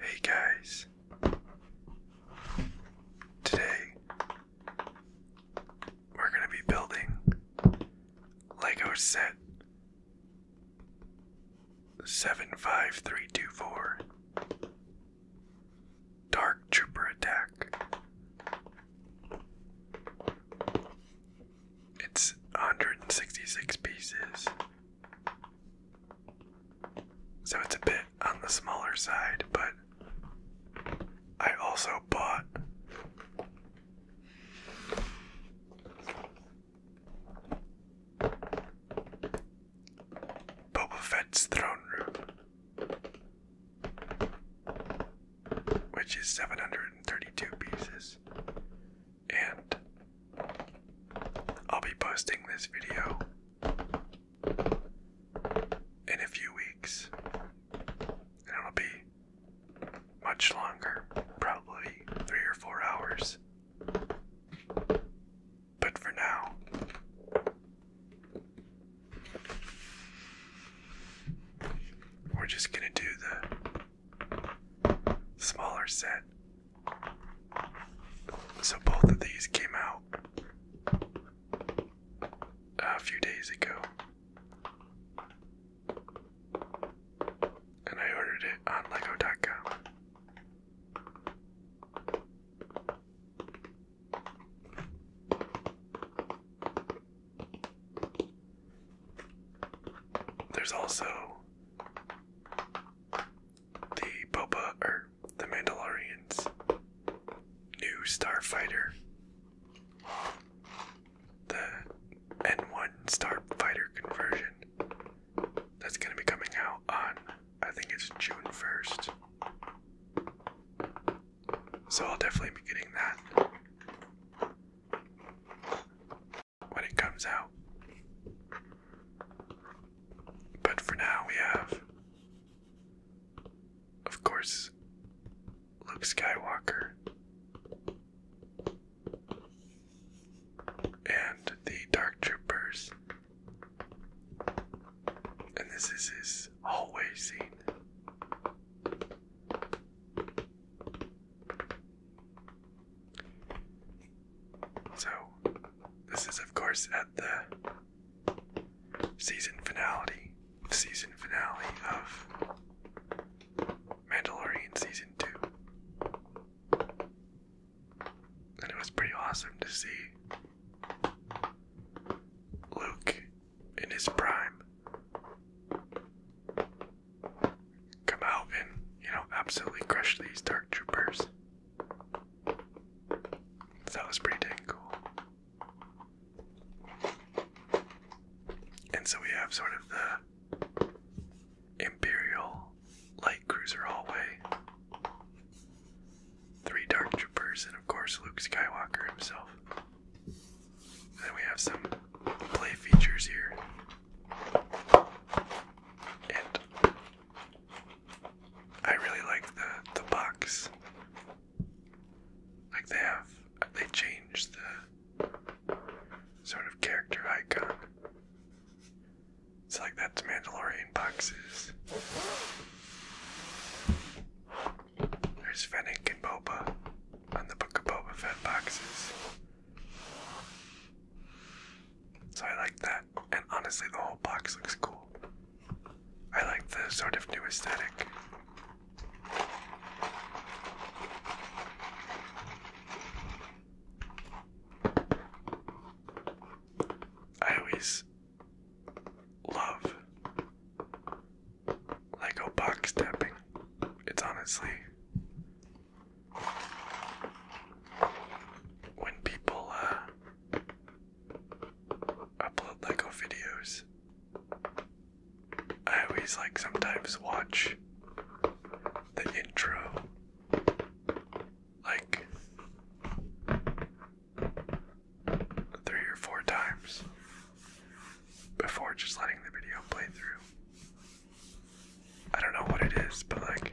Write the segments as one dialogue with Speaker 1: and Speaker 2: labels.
Speaker 1: Hey guys, today we're going to be building Lego set 75324 Dark Trooper Attack. It's 166 pieces. So it's a bit on the smaller side, but I also bought Boba Fett's Throne Room, which is 732 pieces and I'll be posting this video in a few weeks, and it'll be much longer, probably three or four hours. But for now, we're just gonna do the smaller set. So both of these came out a few days ago. And I ordered it on lego.com. There's also the Boba or the Mandalorian's new starfighter. The N1 starfighter conversion. That's going to be coming out on, I think it's June 1st. So I'll definitely be getting that when it comes out. But for now, we have, of course, Luke Skywalker and the Dark Troopers. And this is his hallway scene. So, this is, of course, at the season finale, season finale of Mandalorian Season 2. And it was pretty awesome to see Luke in his prime come out and, you know, absolutely crush these dark troopers. that was pretty dang cool. And so we have sort of the Imperial light cruiser hallway. Three dark troopers, and of course Luke Skywalker himself. then we have some play features here. And I really like the the box. Like they have they changed the sort of character icon. It's like that's Mandalorian boxes. There's Fennec and Boba on the Book of Boba Fett boxes. So I like that. And honestly, the whole box looks cool. I like the sort of new aesthetic. I always love Lego box tapping. It's honestly when people uh, upload Lego videos, I always like sometimes watch the intro. Like three or four times before just letting the video play through. I don't know what it is, but like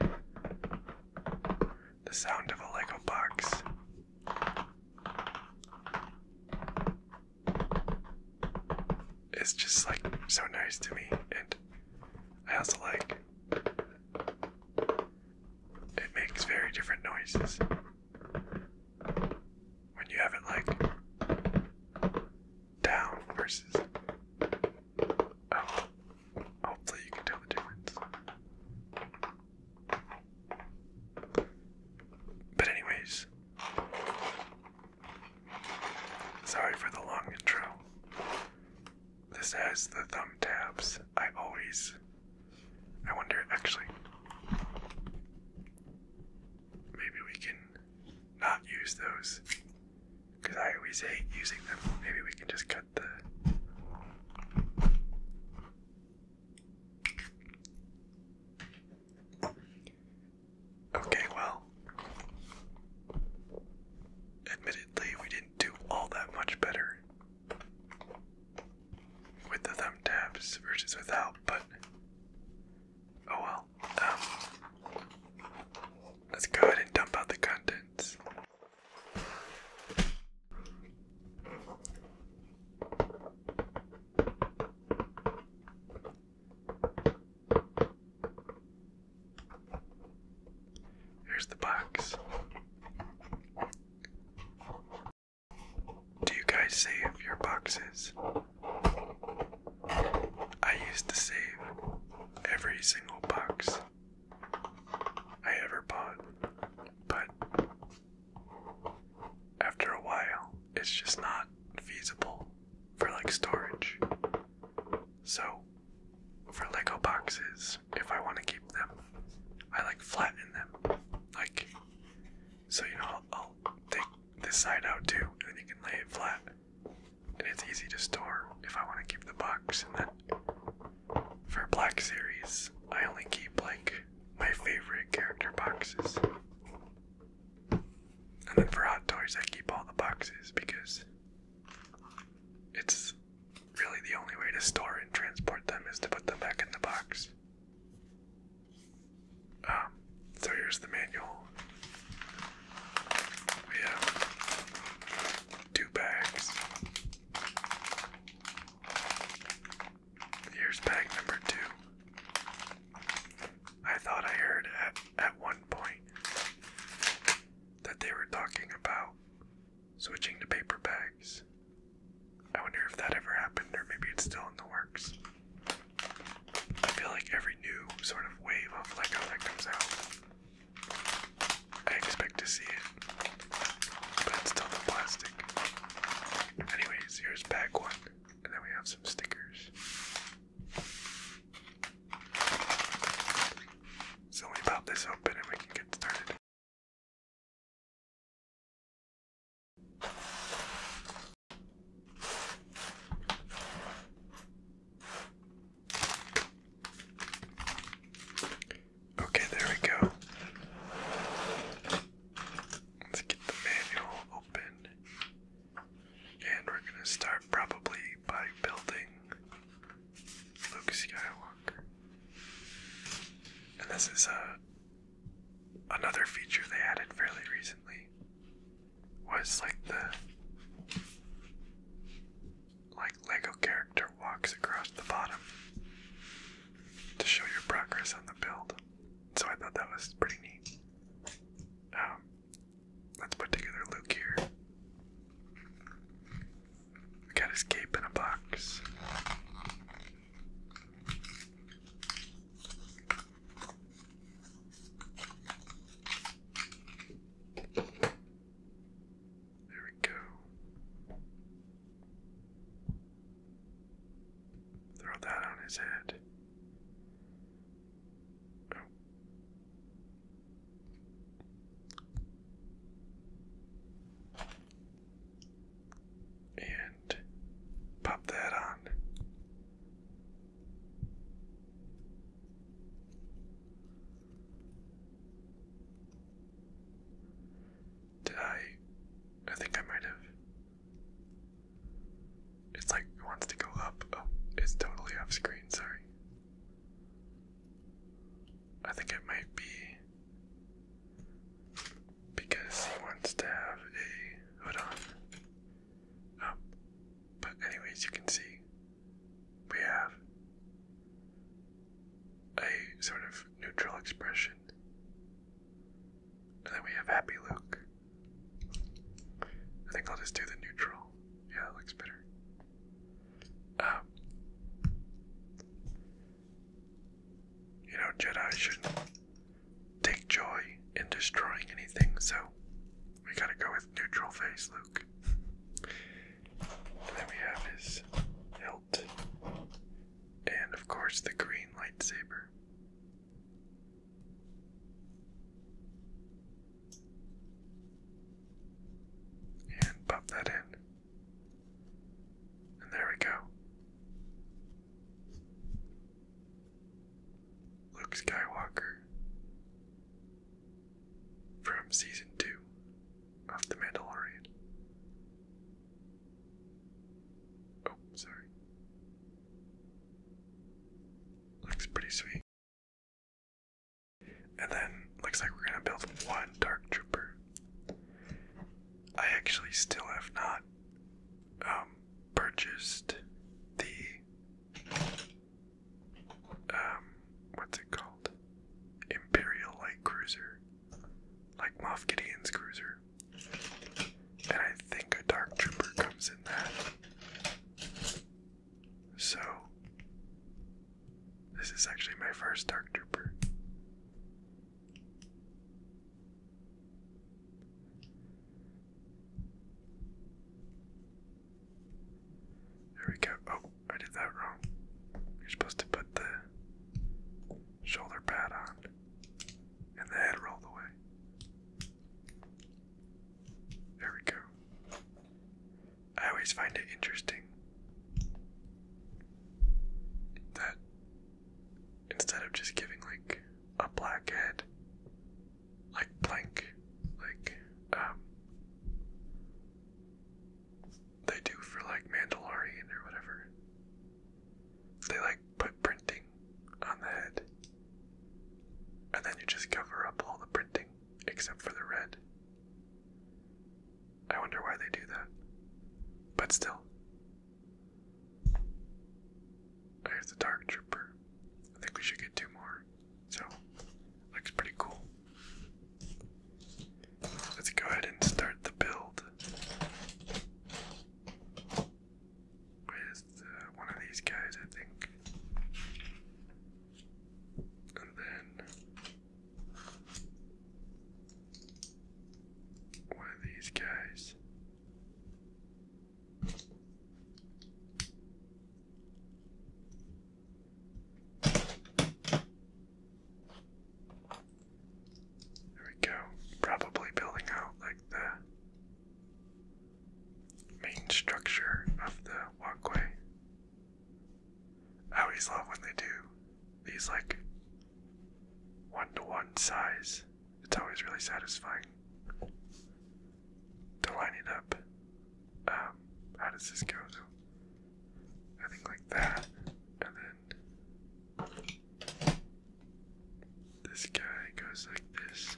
Speaker 1: the sound of a Lego box. It's just like so nice to me, and I also like it makes very different noises when you have it like down versus up. Oh, hopefully, you can tell the difference. But, anyways, sorry for the long intro. This has the thumb tabs. I always. I wonder, actually. Maybe we can not use those because I always hate using them. Maybe we can just cut the. Okay, well, admittedly, we didn't do all that much better with the thumb tabs versus without, but oh well. Um, let's go ahead and dump out the contents. Here's the box. Do you guys save your boxes? I used to save every single box I ever bought, but after a while, it's just not feasible for like storage. So, for Lego boxes, if I want to keep them, I like flatten them. Like, so you know, I'll, take this side out too, and then you can lay it flat it's easy to store if I want to keep the box. And then for Black Series, I only keep like my favorite character boxes. And then for Hot Toys, I keep all the boxes because it's really the only way to store and transport them is to put them back in the box. Um, so here's the manual. We have two bags. Here's bag number two. I thought I heard at, at one point that they were talking about switching to paper bags. I wonder if that ever happened or maybe it's still in the works. I feel like every new sort of wave of Lego comes out I expect to see it, but it's still the plastic. Anyways, here's pack one, and then we have some stickers. So we pop this open and we can get started. Okay, there we go. Let's get the manual open. And we're going to start probably by building Luke Skywalker. And this is a, uh, another feature they added fairly recently was like the like Lego character walks across the bottom to show your progress on the build. So I thought that was pretty neat. Um, let's put together Luke here. got his cape in a box. There we go. Throw that on his head. Oh. And pop that on. I? I think I might have. It's like it wants to go up. Oh, it's totally off screen, sorry. I think it might be because he wants to have a. Hold on. Um, but anyways, you can see we have a sort of neutral expression. And then we have Happy look. I think I'll just do the neutral. Yeah, that looks better. Um, you know, Jedi shouldn't take joy in destroying anything, so we gotta go with neutral face, Luke. and then we have his hilt. And of course, the green lightsaber. And pop that in. And there we go. Luke Skywalker from season 2 of The Mandalorian. Oh, sorry. Looks pretty sweet. And then looks like we're gonna build one Dark Trooper. I actually still have not um, purchased the um, what's it called? Imperial Light Cruiser, like Moff Gideon's cruiser, and I think a Dark Trooper comes in that. So, this is actually my first Dark Trooper. There we go. Oh, I did that wrong. You're supposed to put the shoulder pad on and the head rolled away. There we go. I always find it interesting that instead of just giving like a black head, like blank, like um, they do for like Mandalorian or whatever. They like put printing on the head, and then you just cover up all the printing except for the red. I wonder why they do that, but still. Here's the Dark Trooper. I think we should get two more. So, looks pretty cool. Let's go ahead and start the build with uh, one of these guys, I think. And then one of these guys. There we go. Probably building out like the main structure of the walkway. I always love when they do these like one to one size. It's always really satisfying to line it up. Um, how does this go? I think like that, and then this guy goes like this.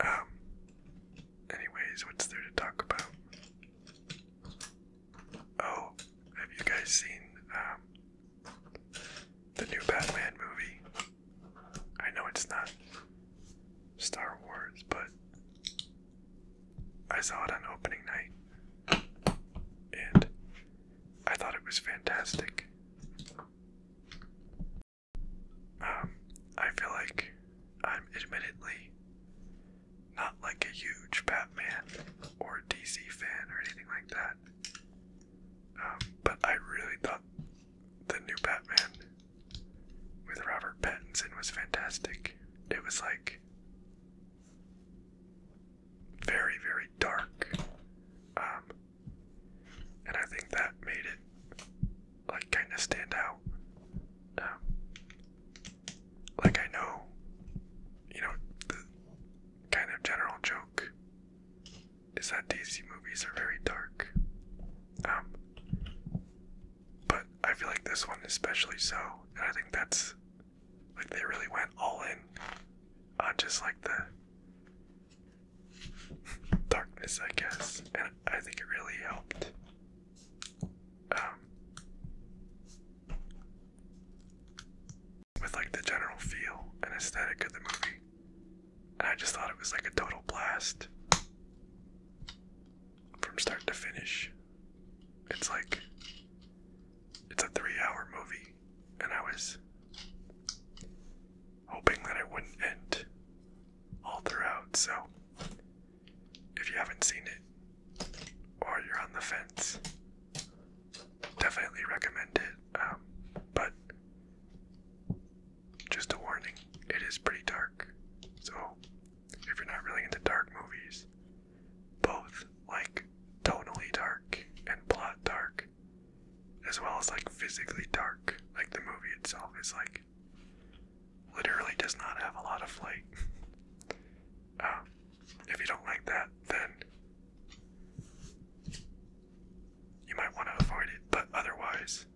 Speaker 1: Um, anyways, what's there to talk about? Oh, have you guys seen um, the new Batman movie. I know it's not Star Wars, but I saw it on opening night and I thought it was fantastic. Um, I feel like I'm admittedly not like a huge Batman or DC fan or anything like that. Um, but I really thought the new Batman with Robert Pattinson was fantastic. It was like very, very dark. Um, and I think that made it like kind of stand out. Um, like I know, you know, the kind of general joke is that DC movies are very dark. Um, but I feel like this one especially so, and I think that's like they really went all in on just like the darkness, I guess, and I think it really helped. Um, with like the general feel and aesthetic of the movie. And I just thought it was like a total blast from start to finish. It's like it's a 3-hour movie and I was hoping that it wouldn't end all throughout. So if you haven't seen it or you're on the fence, definitely recommend it. Um, but just a warning, it is pretty dark. So, if you're not really into dark movies, both like tonally dark and plot dark, as well as like physically dark, like the movie itself is like literally does not have a lot of light. Um, if you don't like that, then you might want to avoid it, but otherwise,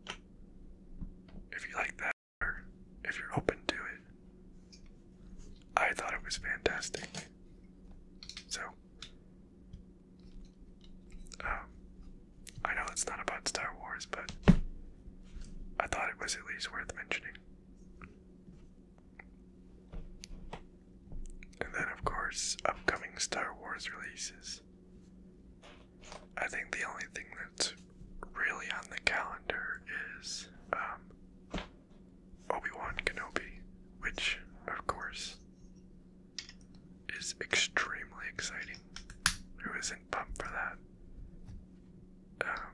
Speaker 1: if you like that, if you're open to it, I thought it was fantastic. So, um, I know it's not about Star Wars, but I thought it was at least worth mentioning. And then, of course, upcoming Star Wars releases. I think the only thing that's really on the calendar is um, Obi Wan Kenobi, which, of course, is extremely exciting. Who isn't pumped for that? Um,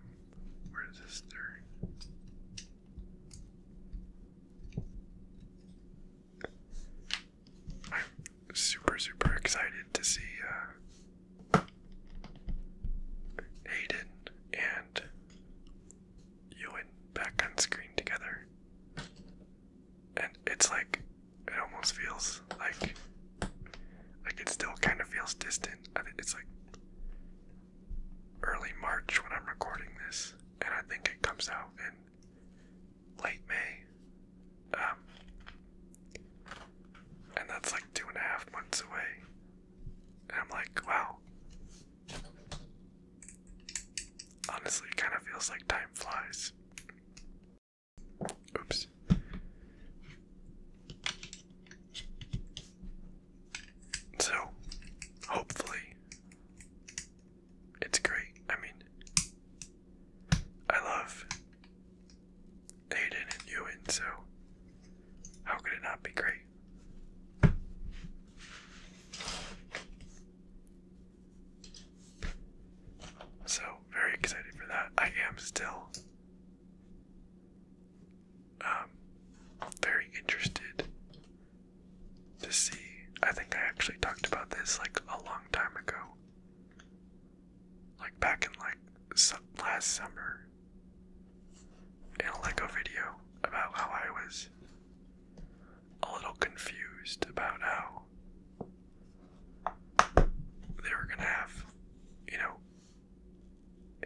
Speaker 1: where is this third? I'm super, super excited to see uh, Hayden and Ewan back on screen together. And it's like, it almost feels like, like it still kind of feels distant. I it's like early March when I'm recording this, and I think it comes out and late May. Um, and that's like two and a half months away. And I'm like, wow. Honestly, it kind of feels like time flies. Oops. So, hopefully, it's great. I mean, I love Aiden and Ewan, so how could it not be great? So, very excited for that. I am still um, very interested to see. I think I actually talked about this like a long time ago. Like back in like last summer in a Lego video about how I was a little confused about how they were gonna have, you know,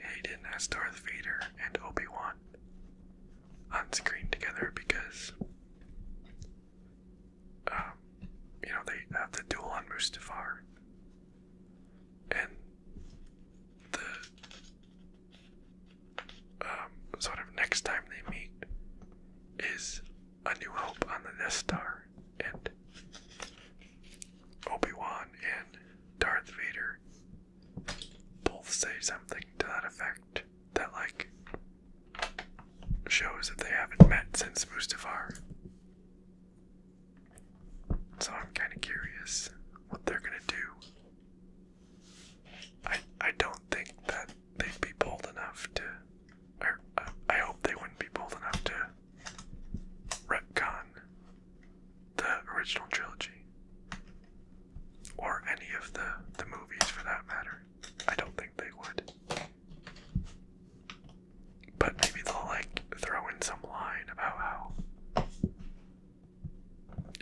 Speaker 1: Hayden as Darth Vader and Obi Wan on screen together because, um, you know, they have the duel on Mustafar, and the um, sort of next time they meet is A New Hope on the Death Star, and Obi Wan and Darth Vader both say something to that effect that like shows that they haven't met since Mustafar. So I'm kind of curious what they're gonna do. I I don't think that they'd be bold enough to, or uh, I hope they wouldn't be bold enough to retcon the original trilogy, or any of the the movies for that matter. I don't think they would. But maybe they'll like throw in some line about how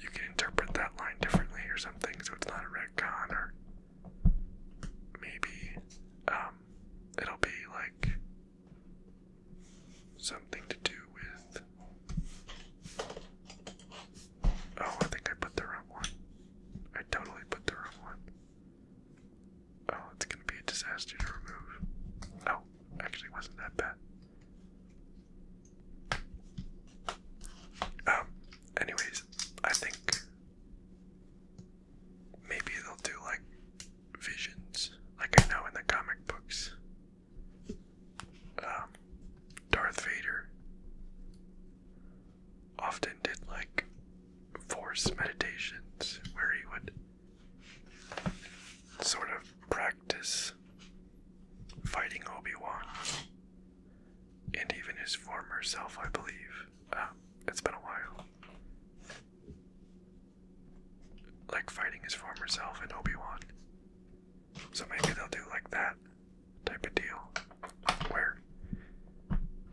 Speaker 1: you can interpret that line differently or something, so it's not a retcon, or maybe um, it'll be like something to do with Oh, I think I put the wrong one. I totally put the wrong one. Oh, it's gonna be a disaster to remove. No, oh, actually, wasn't that bad. Um, anyways, I think maybe they'll do like visions, like I know in the comic books. Um, Darth Vader often did like force meditations where he would sort of practice fighting Obi-Wan and even his former self, I believe. Um, it's been a while. Like fighting his former self and Obi-Wan. So maybe they'll do like that type of deal where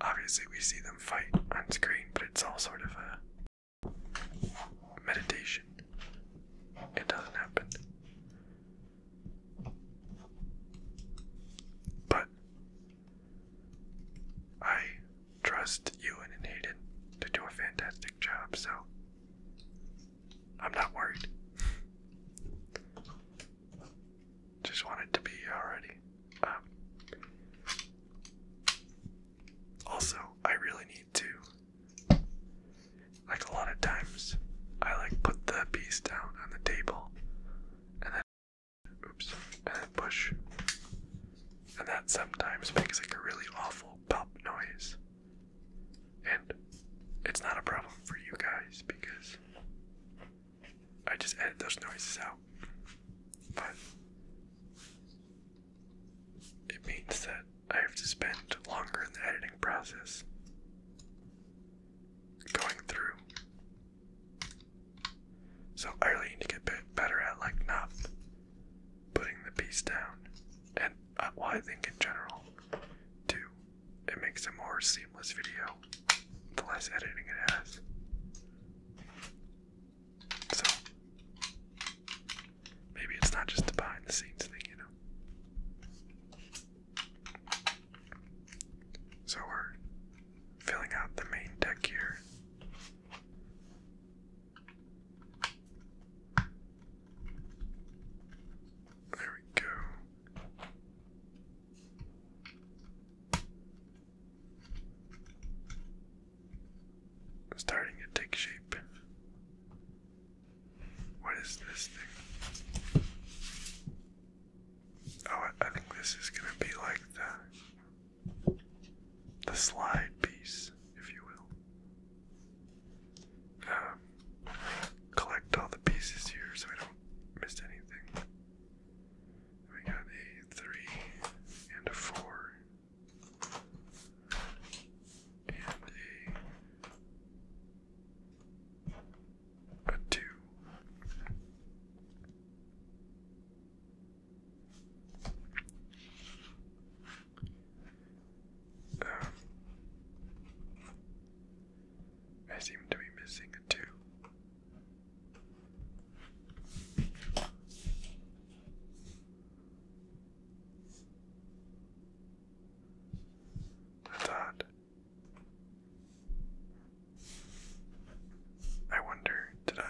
Speaker 1: obviously we see them fight on screen, but it's all sort of a meditation. It doesn't happen. But I trust Ewan and Hayden to do a fantastic job, so I'm not worried. Just want it to be already. Um, also, I really need to. Like a lot of times, I like put the piece down on the table, and then oops, and then push, and that sometimes makes like a really awful pop noise. And it's not a problem for you guys because I just edit those noises out. But it means that I have to spend longer in the editing process going through. So I really need to get better at like not putting the piece down, and uh, I think in general, too, it makes a more seamless video the less editing it has. So maybe it's not just a behind the scenes thing, you know. So we're filling out the main deck here. There we go. Starting to take shape. What is this thing? Oh, I think this is gonna be like the the slide piece, if you will. Um, collect all the pieces here so we don't missed anything. We got a three and a four and a a two. Um, I seem to be missing a two. That's I wonder, did I?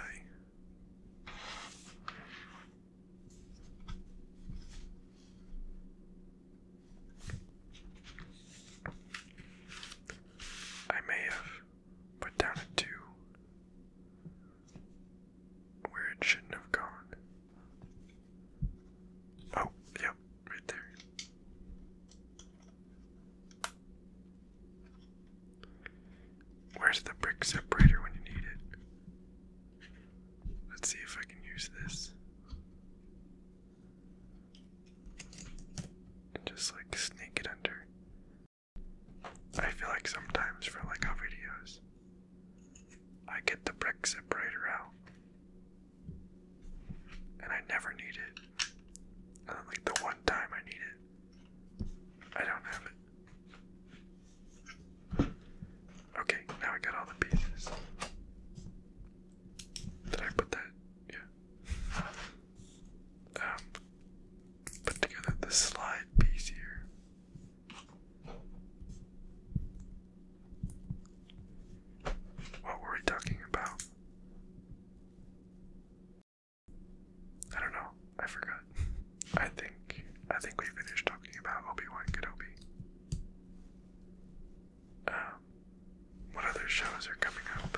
Speaker 1: I may have put down a two where it shouldn't have gone. Oh, yep, right there. Where's the brick separator when you need it? Let's see if I can use this just like sneak it under. I feel like sometimes for like our videos, I get the brick separator out, and I never need it. And then, like the one time I need it, I don't have it. Okay, now I got all the pieces. Did I put that? Yeah. Um, put together the slide piece here. What were we talking about? I don't know. I forgot. I think I think we finished talking about Obi Wan Kenobi. Um, what other shows are coming up?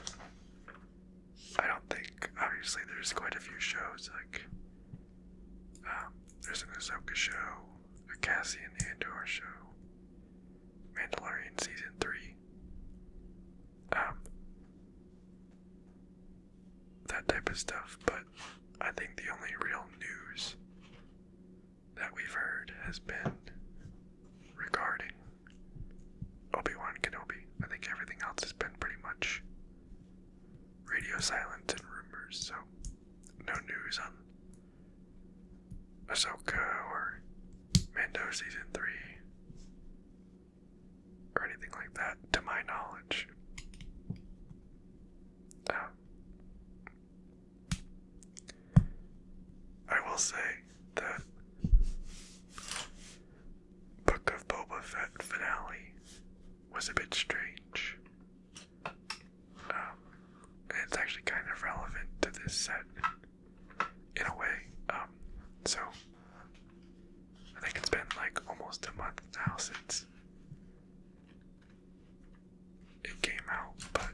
Speaker 1: I don't think. Obviously, there's quite a few shows. Like, um, there's an Ahsoka show, a Cassian Andor show, Mandalorian season three. Um, that type of stuff. But I think the only real news that we've heard has been regarding Obi-Wan Kenobi. I think everything else has been pretty much radio silence and rumors, so no news on Ahsoka or Mando Season 3 or anything like that, to my knowledge. Um, I will say the Book of Boba Fett finale was a bit strange. Um, it's actually kind of relevant to this set in a way. Um, so I think it's been like almost a month now since it came out, but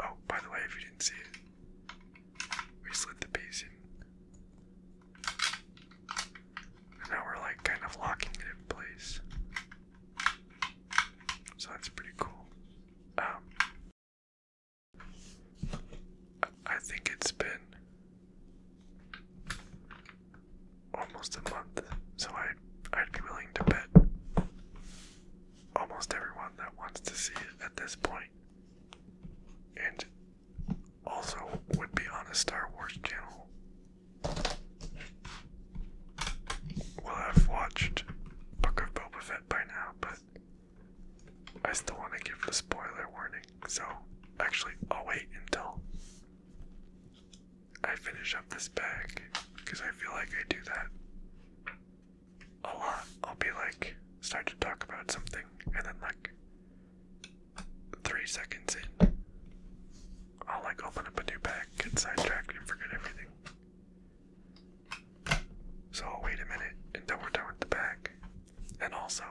Speaker 1: Oh, by the way, if you didn't see it, we slid the piece in. And now we're like kind of locking it in place. So that's pretty cool. Um, I think it's been almost a month, so i I'd be willing to bet almost everyone that wants to see it at this point and also would be on a Star Wars channel. Well, I've watched Book of Boba Fett by now, but I still want to give the spoiler warning, so actually, I'll wait until I finish up this bag because I feel like I do that I'll, I'll be like, start to talk about something, and then like three seconds in, I'll like open up a new pack, get sidetracked, and forget everything. So I'll wait a minute until we're done with the pack. And also,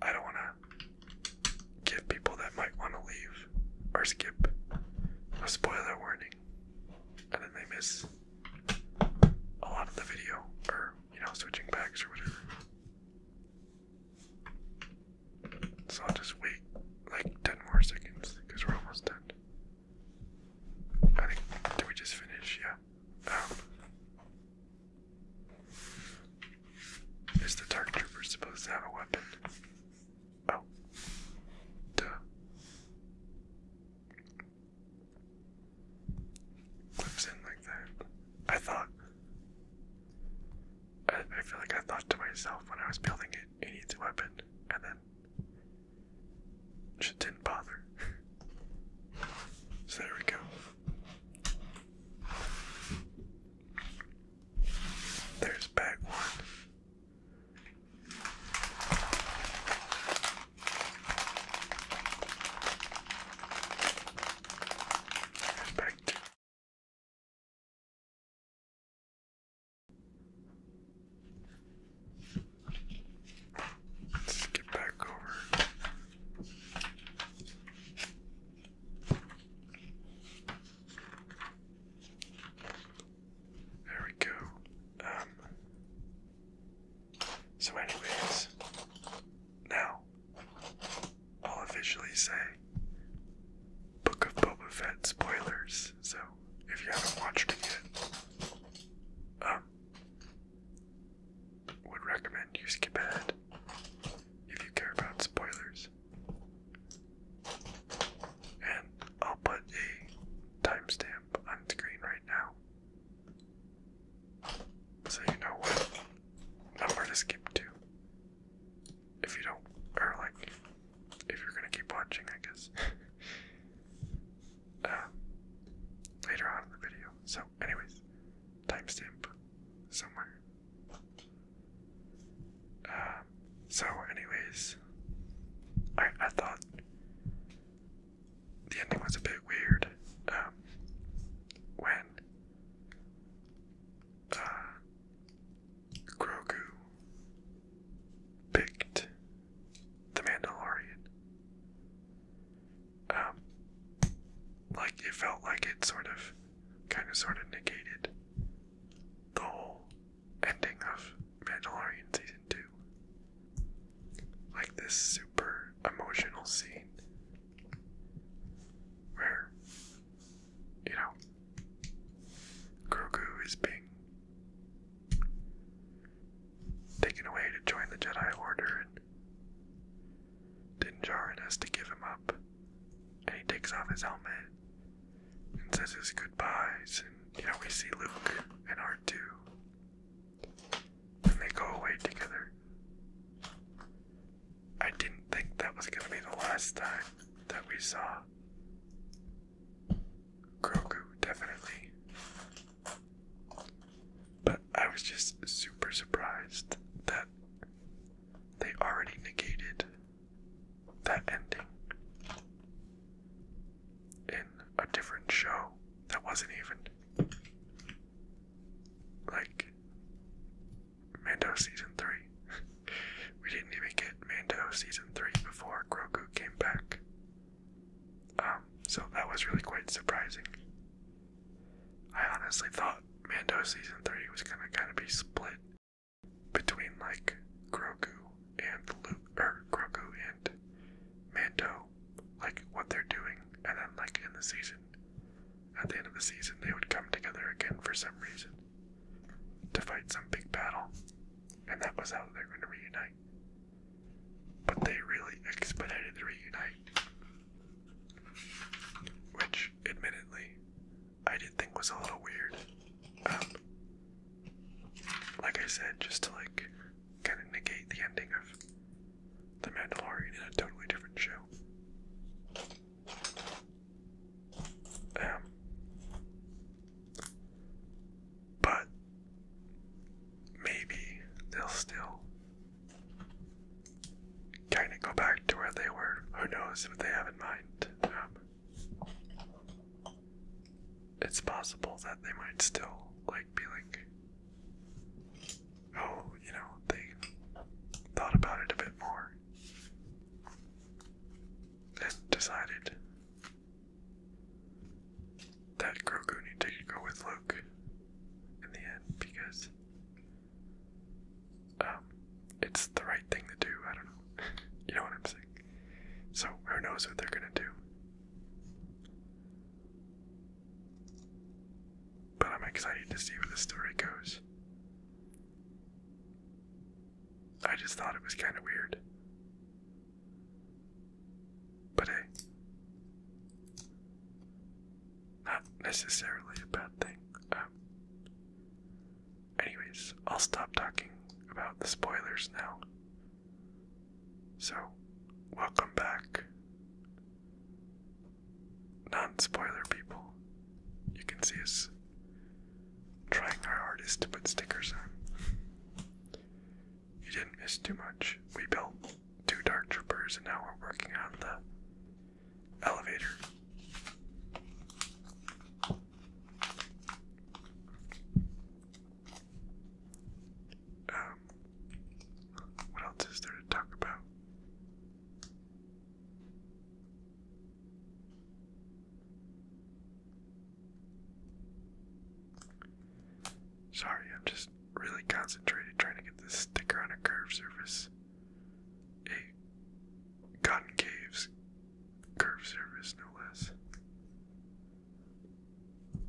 Speaker 1: I don't want to give people that might want to leave or skip a spoiler warning, and then they miss a lot of the video, or you know, switching backs or whatever. So I'll just wait like 10 more seconds because we're almost done. I think, did we just finish? Yeah. Um, is the Dark Trooper supposed to have a weapon? Oh. Duh clips in like that. I thought, I, I feel like I thought to myself when I was building it, it needs a weapon, and then just didn't bother. so there we go. There's bag one. Perfect. Let's get back over. There we go. Um, so, anyways, now I'll officially say Book of Boba Fett spoilers. So, if you haven't watched it um, would recommend you skip ahead if you care about spoilers. And I'll put a timestamp on screen right now so you know what number to skip to. If you don't, or like, if you're gonna keep watching, I guess. Uh, later on in the video. So, anyways, timestamp somewhere. Uh, so, anyways, I I thought the ending was a bit weird. Um, when uh, Grogu picked the Mandalorian, um, like it felt like it sort of, kind of, sort of negated the whole ending of Mandalorian season two like this super emotional scene where, you know, Grogu is being taken away to join the Jedi Order, and Din Djarin has to give him up, and he takes off his helmet and says his goodbyes, and you know we see Luke and R2, and they go away together. I didn't think that was going to be the last time that we saw Grogu, definitely. But I was just super surprised that they already negated that ending a different show that wasn't even like Mando season three. we didn't even get Mando season three before Grogu came back. Um, so that was really quite surprising. I honestly thought Mando season three was gonna kind of be split between like Grogu and Luke, or Grogu and Mando, like what they're doing, and then like in the season, at the end of the season, they would come together again for some reason to fight some big battle, and that was how they were going to reunite. But they really expedited the reunite, which, admittedly, I did think was a little weird. Um, like I said, just to like kind of negate the ending of The Mandalorian in a totally different show. Um, but maybe they'll still kind of go back to where they were. Who knows what they have in mind? Um, it's possible that they might still like be like, oh, you know, they thought about it a bit more and decided that Grogu needed to go with Luke in the end because um, it's the right thing to do. I don't know. you know what I'm saying? So who knows what they're gonna do? But I'm excited to see where the story goes. I just thought it was kind of weird. But hey, not necessarily a bad thing. Um, anyways, I'll stop talking about the spoilers now. So, welcome back. Non spoiler people. You can see us trying our hardest to put stickers on. You didn't miss too much. We built two Dark Troopers and now we're working on the elevator. Um, what else is there to talk about? Sorry, I'm just really concentrated trying to get this sticker on a curved surface. A concave curved surface, no less.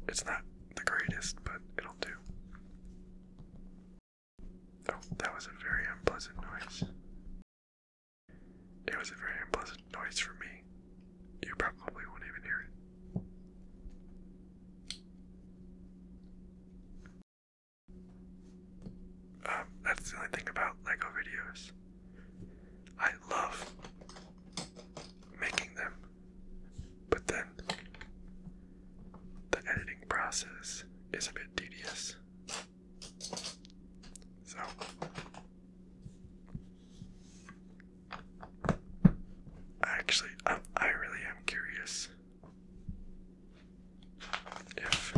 Speaker 1: It's not the greatest, but it'll do. Oh, that was a very unpleasant noise. It was a very unpleasant noise for me. You probably won't even hear it. Um, that's the only thing about Lego videos. I love making them. But then the editing process is a bit tedious. So actually um, I really am curious if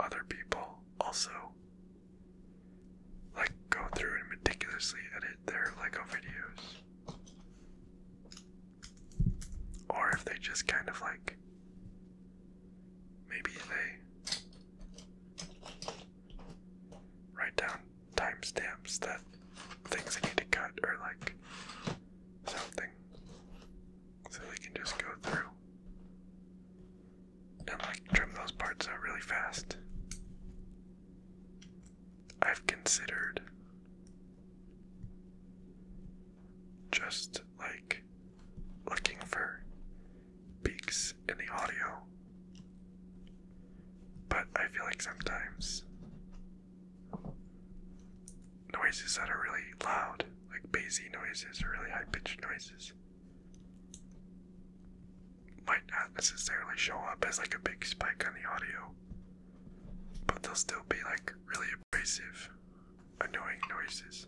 Speaker 1: other people also like go through and meticulously edit their Lego videos. Or if they just kind of like maybe they write down timestamps that things they need to cut or like something so they can just go through now like trim those parts out really fast. I've considered just like looking for peaks in the audio, but I feel like sometimes noises that are really loud, like bassy noises or really high pitched noises, might not necessarily show up as like a big spike on the audio, but they'll still be like really abrasive, annoying noises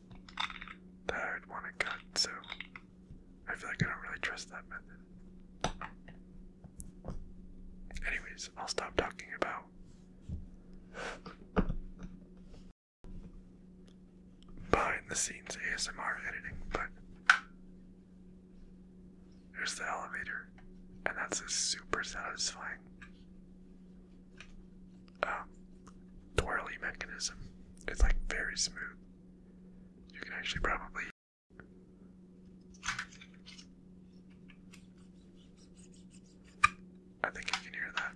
Speaker 1: that I would want to cut. So I feel like I don't really trust that method. Anyways, I'll stop talking about. Behind the scenes ASMR editing, but there's the elevator, and that's a super satisfying um, twirly mechanism. It's like very smooth. You can actually probably. I think you can hear that.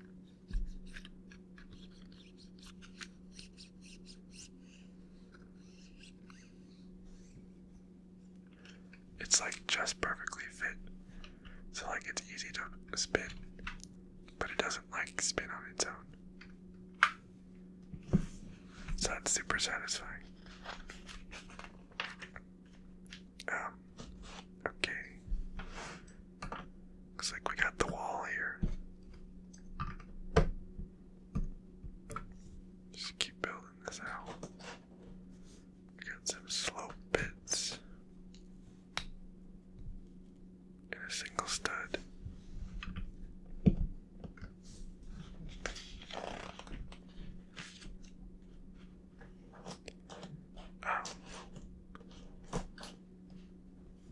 Speaker 1: It's like just perfectly fit. So like it's easy to spin, but it doesn't like spin on its own. So that's super satisfying. Um, okay. Looks like we got the wall here. Just keep building this out. got some slope bits and a single stud. Oh.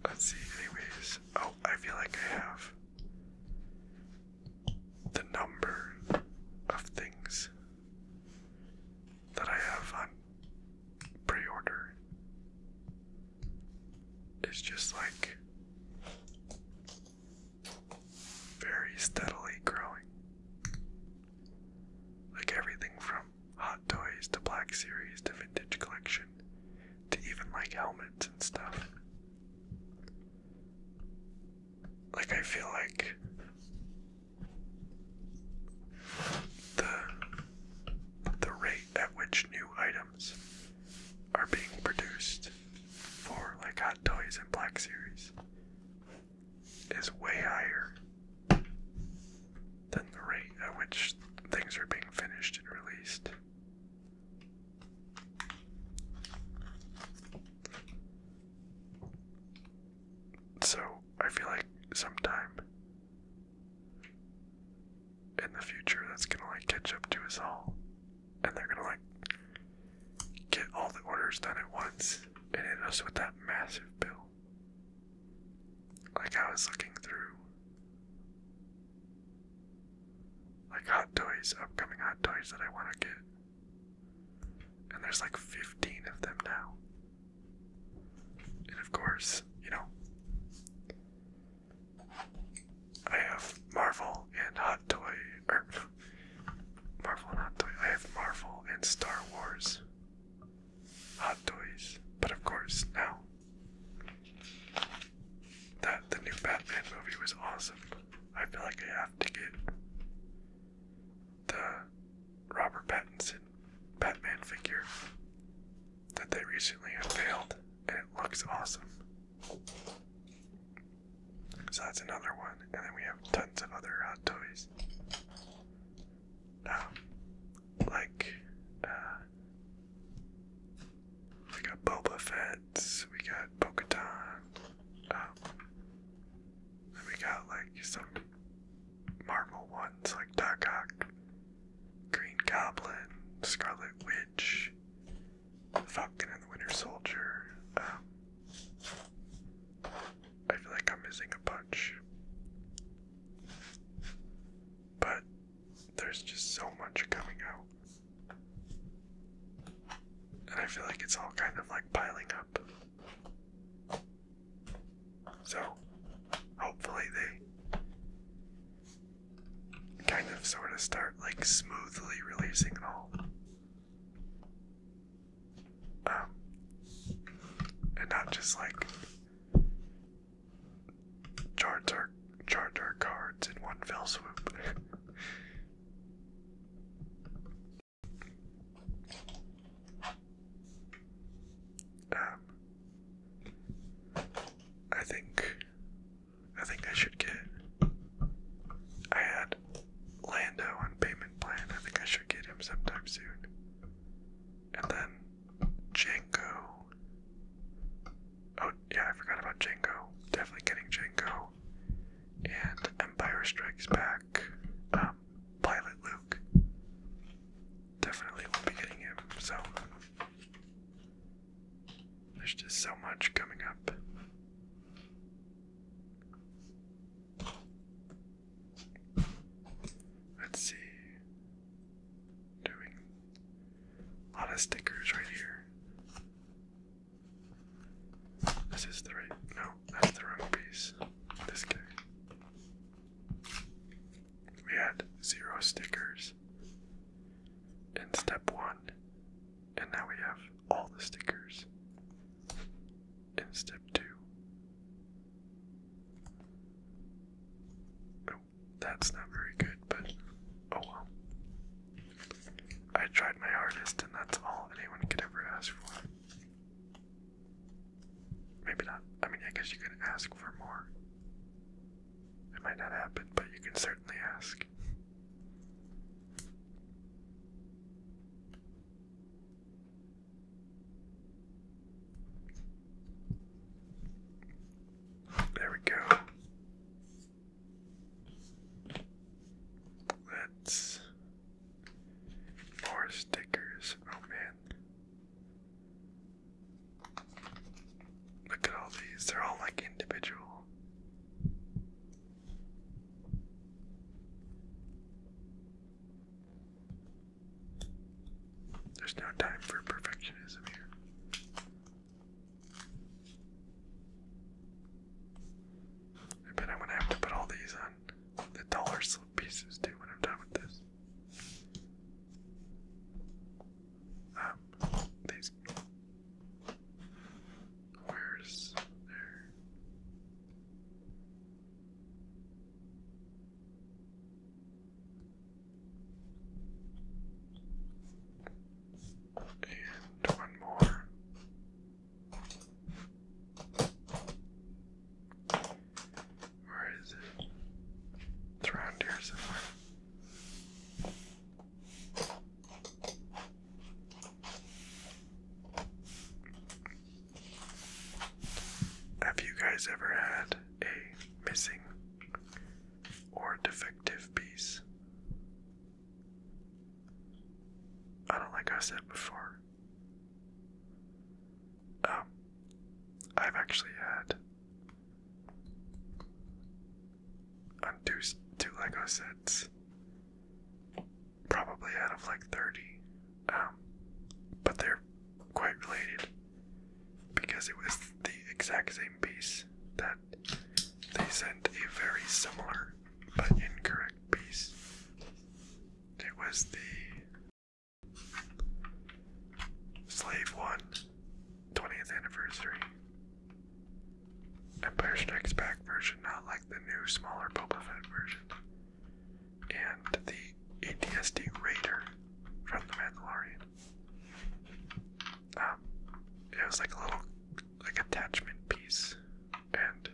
Speaker 1: Let's see, anyways. Oh, I feel like I have the number of things that I have on pre order. It's just like very steadily growing. Like everything from hot toys to black series to vintage collection to even like helmets and stuff. Like, I feel like the the rate at which new items are being produced for like Hot Toys and Black Series is way higher than the rate at which things are being finished and released. So, I feel like sometime in the future that's gonna like catch up to us all, and they're gonna like get all the orders done at once and hit us with that massive bill. Like, I was looking through like hot toys, upcoming hot toys that I want to get. And there's like 15 of them now. And of course, you know, I have Marvel and Hot Toy, or Marvel and Hot Toy. I have Marvel and Star Wars Hot Toys. But of course, now that the new Batman movie was awesome. I feel like I have to get the Robert Pattinson Batman figure that they recently unveiled, and it looks awesome. So that's another one, and then we have tons of other uh, toys. Um, like, uh, we got Boba Fett, we got bo um, we got like some Marvel ones like Doc Green Goblin, Scarlet Witch, Falcon and the Winter Soldier. Um, I feel like I'm missing a bunch. But there's just so much coming out. And I feel like it's all kind of like piling up. So, hopefully, they kind of sort of start like smoothly releasing it all. Um, and not just like charter charter cards in one fell swoop. um, I think I think I should get. I had Lando on payment plan. I think I should get him sometime soon. And then Jango. Oh, yeah, I forgot about Django. Definitely getting Django. And Empire Strikes Back. Um, Pilot Luke. Definitely will be getting him, so. There's just so much coming up. Let's see. Doing a lot of stickers right here. This is the right. No, that's the wrong piece. This guy. We had zero stickers in step one, and now we have all the stickers in step two. Oh, that's not very good, but oh well. I tried my hardest, and that's all anyone could ever ask for. Maybe not. I mean, I guess you can ask for more. It might not happen, but you can certainly ask. There we go. Let's more stickers. Oh man. Look at all these. They're all like individual. There's no time for perfectionism here. I bet I'm gonna have to put all these on the dollar slip pieces too when I'm done with this. Um, these. Where's there? and one more. Where is it? It's around here somewhere. Have you guys ever had a missing or defective piece? I don't like I said before. Um, I've actually had two two Lego sets, probably out of like thirty, um, but they're quite related because it was the exact same piece that they sent a very similar but incorrect piece. It was the Slave One 20th anniversary. Empire Strikes Back version, not like the new smaller Boba version. And the ATSD Raider from The Mandalorian. Um, it was like a little like attachment piece, and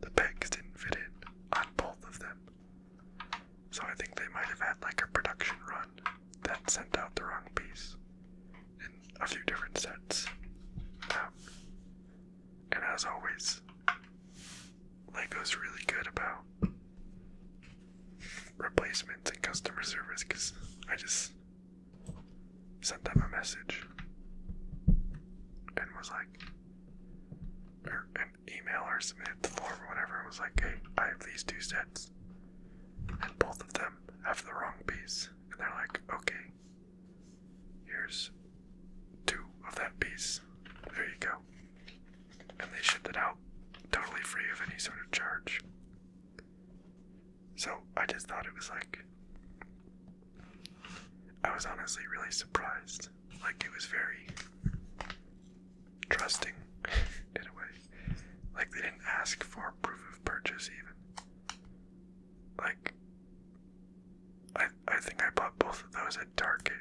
Speaker 1: the pegs didn't fit in on both of them. So I think they might have had like a production run that sent out the wrong piece in a few different sets. Um, and as always, Lego's really good about replacements and customer service because I just sent them a message and was like, or an email or submit the form or whatever, and was like, hey, I have these two sets, and both of them have the wrong piece. And they're like, okay, here's two of that piece. There you go. And they shipped it out totally free of any sort of charge. So I just thought it was like. I was honestly really surprised. Like, it was very trusting in a way. Like, they didn't ask for proof of purchase, even. Like, I, I think I bought both of those at Target.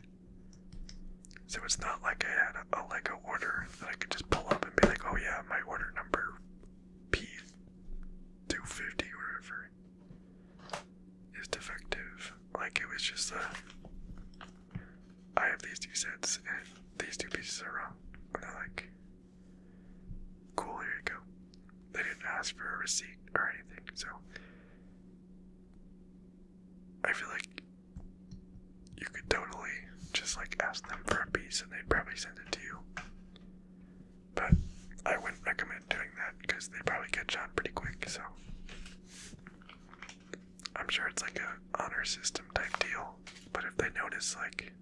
Speaker 1: So it's not like I had a, a like a order that I could just pull up and be like, oh yeah, my order number P250 or whatever is defective. Like it was just a, I have these two sets and these two pieces are wrong. And they're like, cool, here you go. They didn't ask for a receipt or anything, so I feel like you could totally just like ask them for a piece and they'd probably send it to you. But I wouldn't recommend doing that because they probably get shot pretty quick, so. I'm sure it's like a honor system type deal, but if they notice like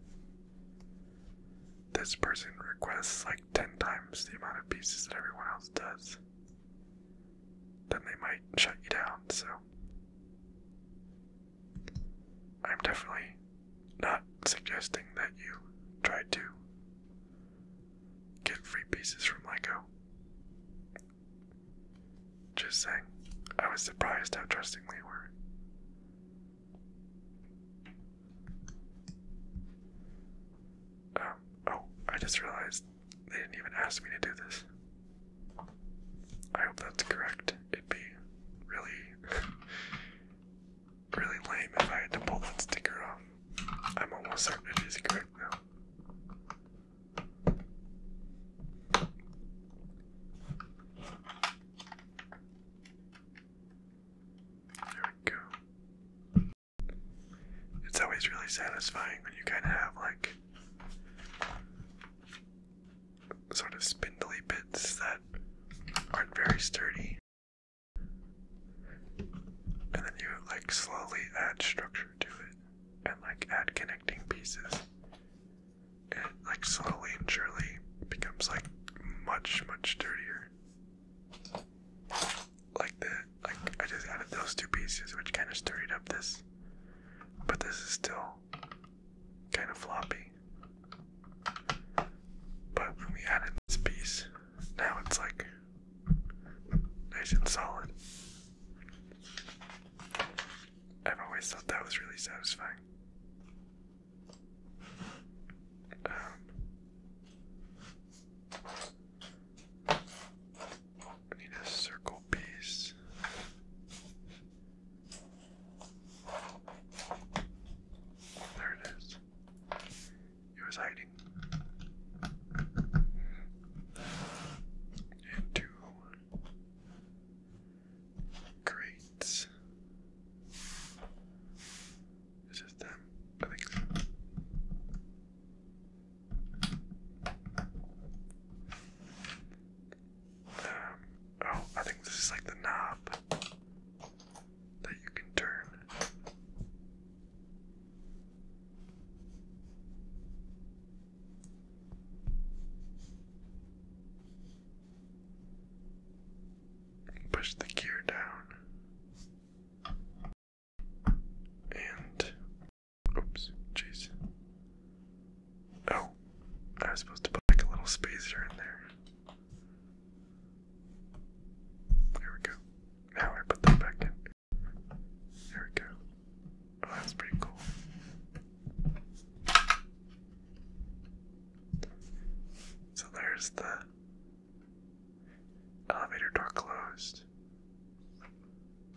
Speaker 1: this person requests like 10 times the amount of pieces that everyone else does, then they might shut you down, so I'm definitely not suggesting that you try to get free pieces from Lego. Just saying, I was surprised how trusting they were. Um, oh, I just realized they didn't even ask me to do this. I hope that's correct. It'd be really really lame if I had to pull that sticker off. I'm almost certain it is correct now. There we go. It's always really satisfying when you kind of have like sort of spindly bits that aren't very sturdy. And then you like slowly add structure to it and like add connecting pieces. it like slowly and surely becomes like much, much sturdier. Like that, like I just added those two pieces which kinda sturdied up this. But this is still kind of floppy. But when we added this piece, now it's like nice and solid. I've always thought that was really satisfying. Um, need a circle piece. There it is. It was hiding. And crates. Is this them? I think oh, I think this is like the knob that you can turn. Push the gear down. And oops, jeez. Oh, I was supposed to put like a little spacer in there. There we go. Now I put that back in. There we go. Oh, that's pretty cool. So there's the elevator door closed.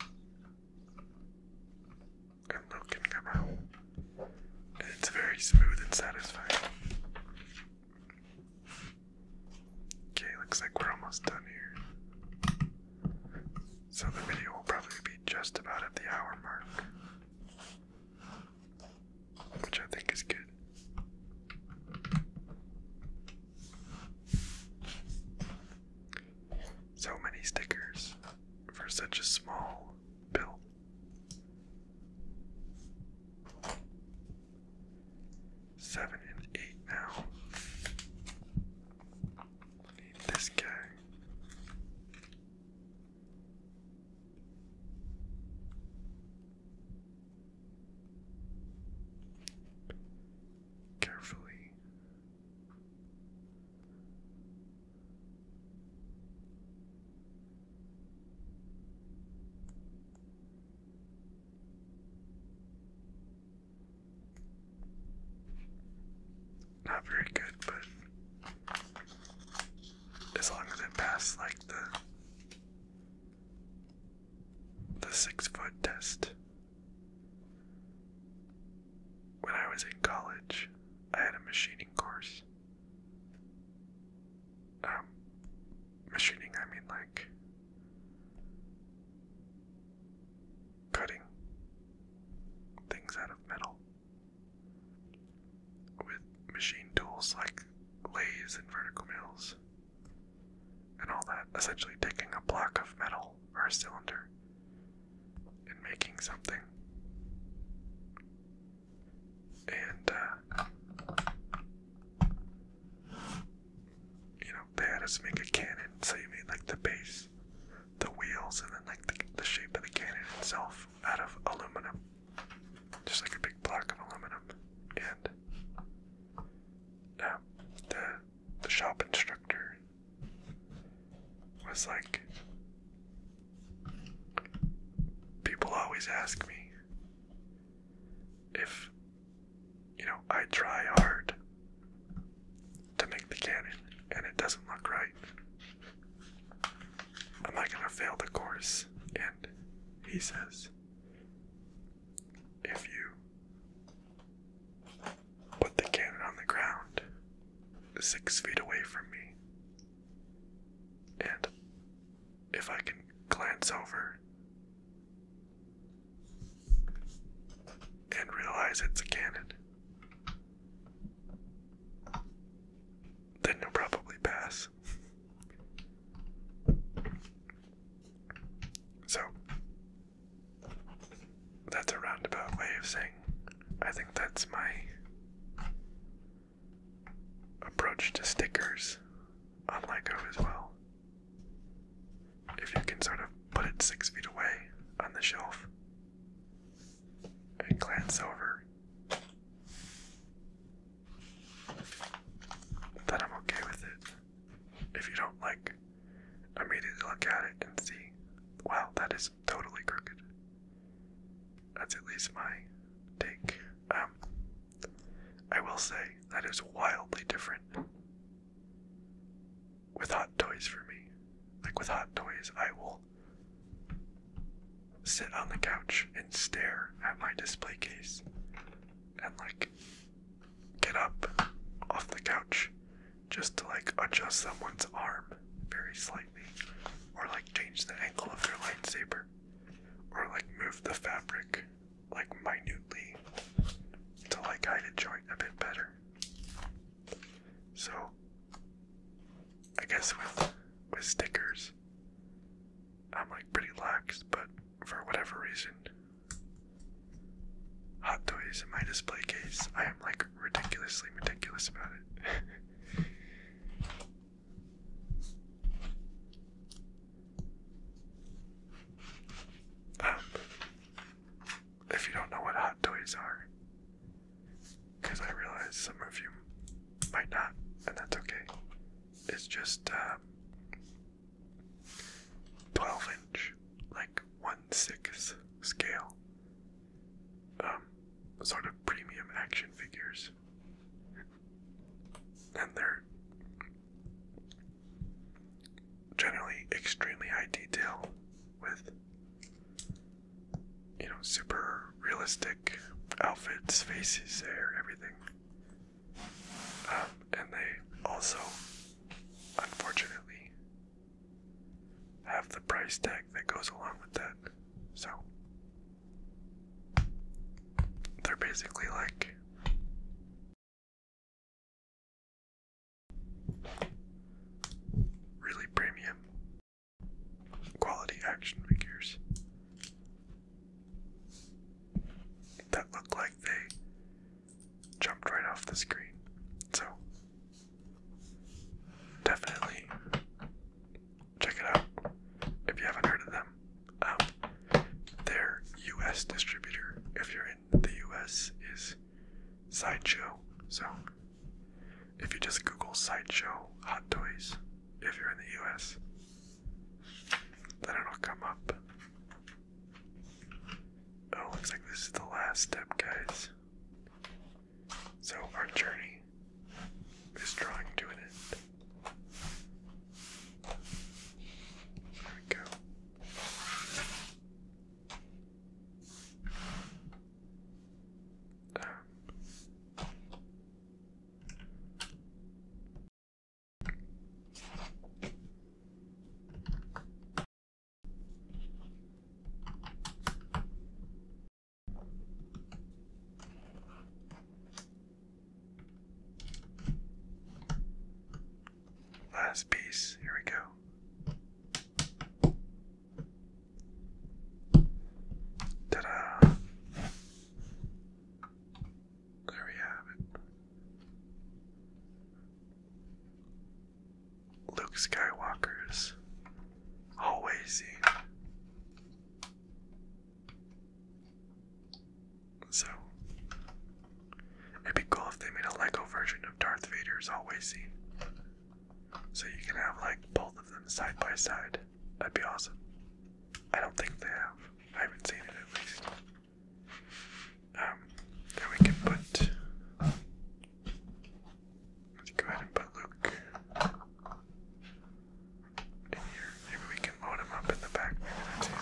Speaker 1: And Luke can come out it's very smooth and satisfying. Okay, looks like we're almost done here. So the video will probably be just about at the hour mark, which I think is good. So many stickers for such a small build. Seven and eight now. need this guy. Carefully. Not very good, but as long as I passed like the the six foot test. When I was in college, I had a machining course. Um, machining, I mean like cutting things out of metal with machine tools like lathes and vertical mills and all that, essentially taking a block of metal or a cylinder and making something and uh, you know they had us make a cannon, so you made like the base, the wheels, and then like the, shape of the cannon itself out of aluminum, just like a big block of aluminum, and um, the the shop instructor was like People always ask me if, you know, I try hard to make the cannon and it doesn't look right. Am I gonna fail the course? And he says, if you put the cannon on the ground six feet away from me, and if I can glance over and realize it's a cannon, then you'll probably pass. so, that's a roundabout way of saying I think that's my approach to stickers on Lycove as well. If you can sort of put it six feet away on the shelf and glance over, then I'm okay with it. If you don't like, immediately look at it and see, wow, that is totally crooked. That's at least my take. Um, I will say that is wildly different with hot toys for me. Like with hot toys, I will sit on the couch and stare at my display case and like get up off the couch just to like adjust someone's arm very slightly or like change the angle of their lightsaber or like move the fabric like minutely to like hide a joint a bit better. So I guess with with stickers I'm like pretty lax, but for whatever reason hot toys in my display case I am like ridiculously meticulous about it. Um, if you don't know what hot toys are, because I realize some of you might not, and that's okay. It's just um, 12 inch, like 1 6 scale, um, sort of premium action figures and they're generally extremely high detail with you know super realistic outfits faces hair everything um, and they also unfortunately have the price tag that goes along with that so they're basically like really premium quality action figures that look like they jumped right off the screen. So, definitely check it out if you haven't heard of them. Um, their U.S. distributor, if you're in the U.S., is Sideshow. So if you just Google Sideshow Hot Toys, if you're in the U.S., then it'll come up. Oh, looks like this is the last step, guys. So, our journey day is drawing to an end. There we go. Last piece, here we go. Ta da! There we have it. Luke Skywalker's always so, it'd be cool if they made a Lego version of Darth Vader's always seen. So you can have like both of them side by side. That'd be awesome. I don't think they have. I haven't seen it at least. Um, then we can put. Let's go ahead and put Luke in here. Maybe we can load him up in the back. Maybe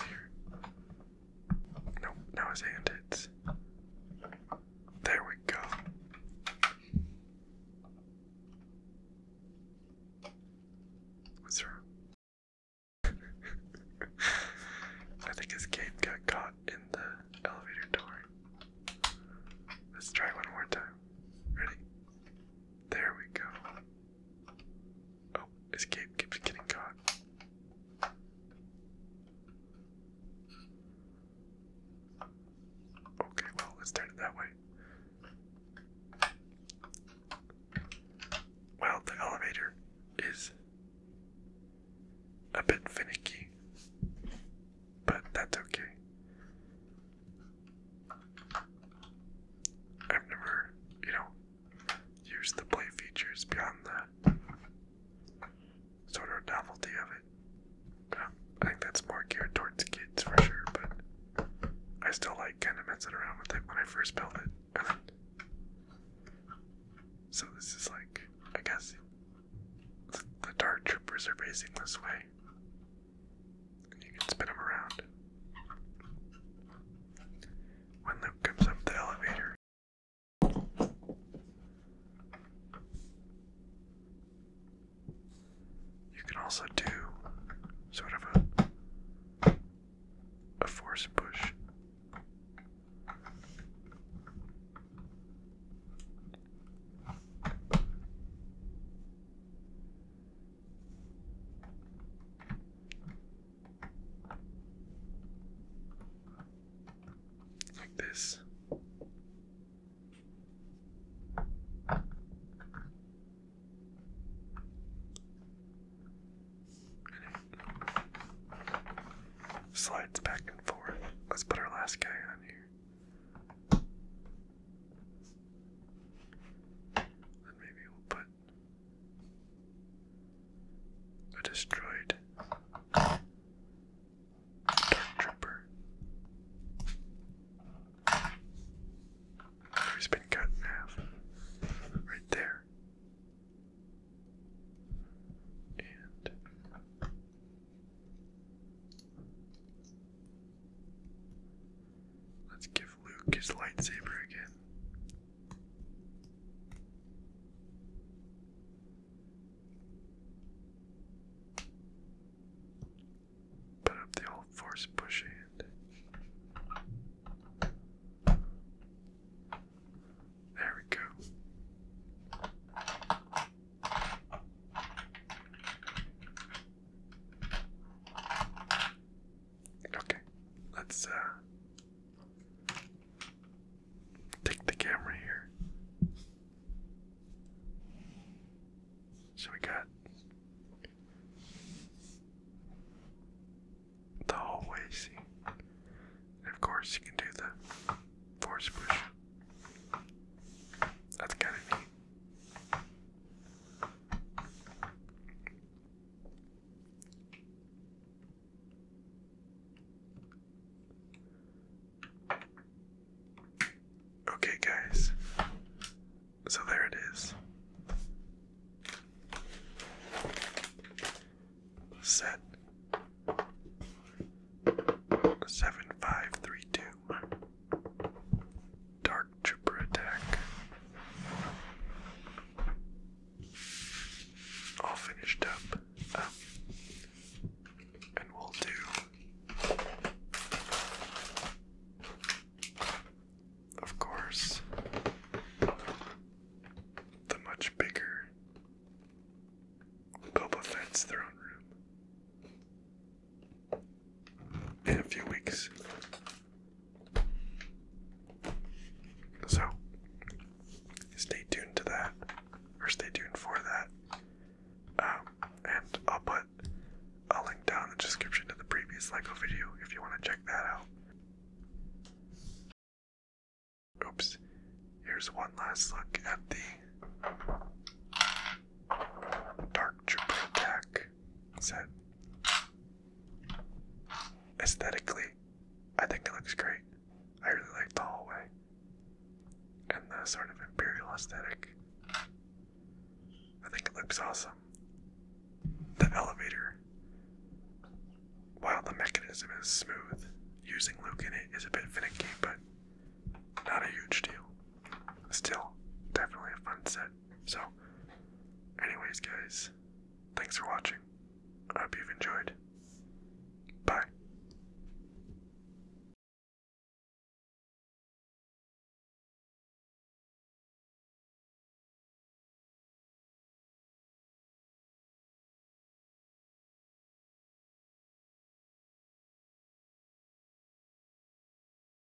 Speaker 1: that's his hand hits. There we go. What's wrong? I think his cape got caught in the elevator door. Let's try one more time. Ready? There we go. Oh, escape keeps getting caught. Okay, well, let's turn it that way. Well, the elevator is a bit finicky, but that's okay. I've never, you know, used the play features beyond the sort of novelty of it. Um, I think that's more geared towards kids for sure, but I still like kind of messing around with it when I first built it. so this is like, I guess the Dark Troopers are basing this way. You can spin him around. When Luke comes up the elevator, you can also do sort of a a force push. Like this. Slides back and forth. Let's put our last guy on here. And maybe we'll put a destroyed dark trooper who's been cut in half right there. Let's give Luke his lightsaber again. Put up the old force push hand. There we go. Okay, let's uh, take the camera here. So we got the hallway scene. And of course you can do the force push. That's kinda neat. Okay, guys, so there it is. Set seven five three two. Dark Trooper attack. All finished up. Oh. and we'll do, of course, the much bigger Boba Fett's throne room in a few weeks. So, stay tuned to that, or stay tuned for that. Um, and I'll put a link down in the description to the previous LEGO video if you want to check that out. Oops, here's one last look at the Dark Trooper attack set. Aesthetically, I think it looks great. I really like the hallway and the sort of imperial aesthetic. I think it looks awesome. The elevator, while the mechanism is smooth, using Luke in it is a bit finicky, but not a huge deal still definitely a fun set. So, anyways, guys, thanks for watching. I hope you've enjoyed. Bye.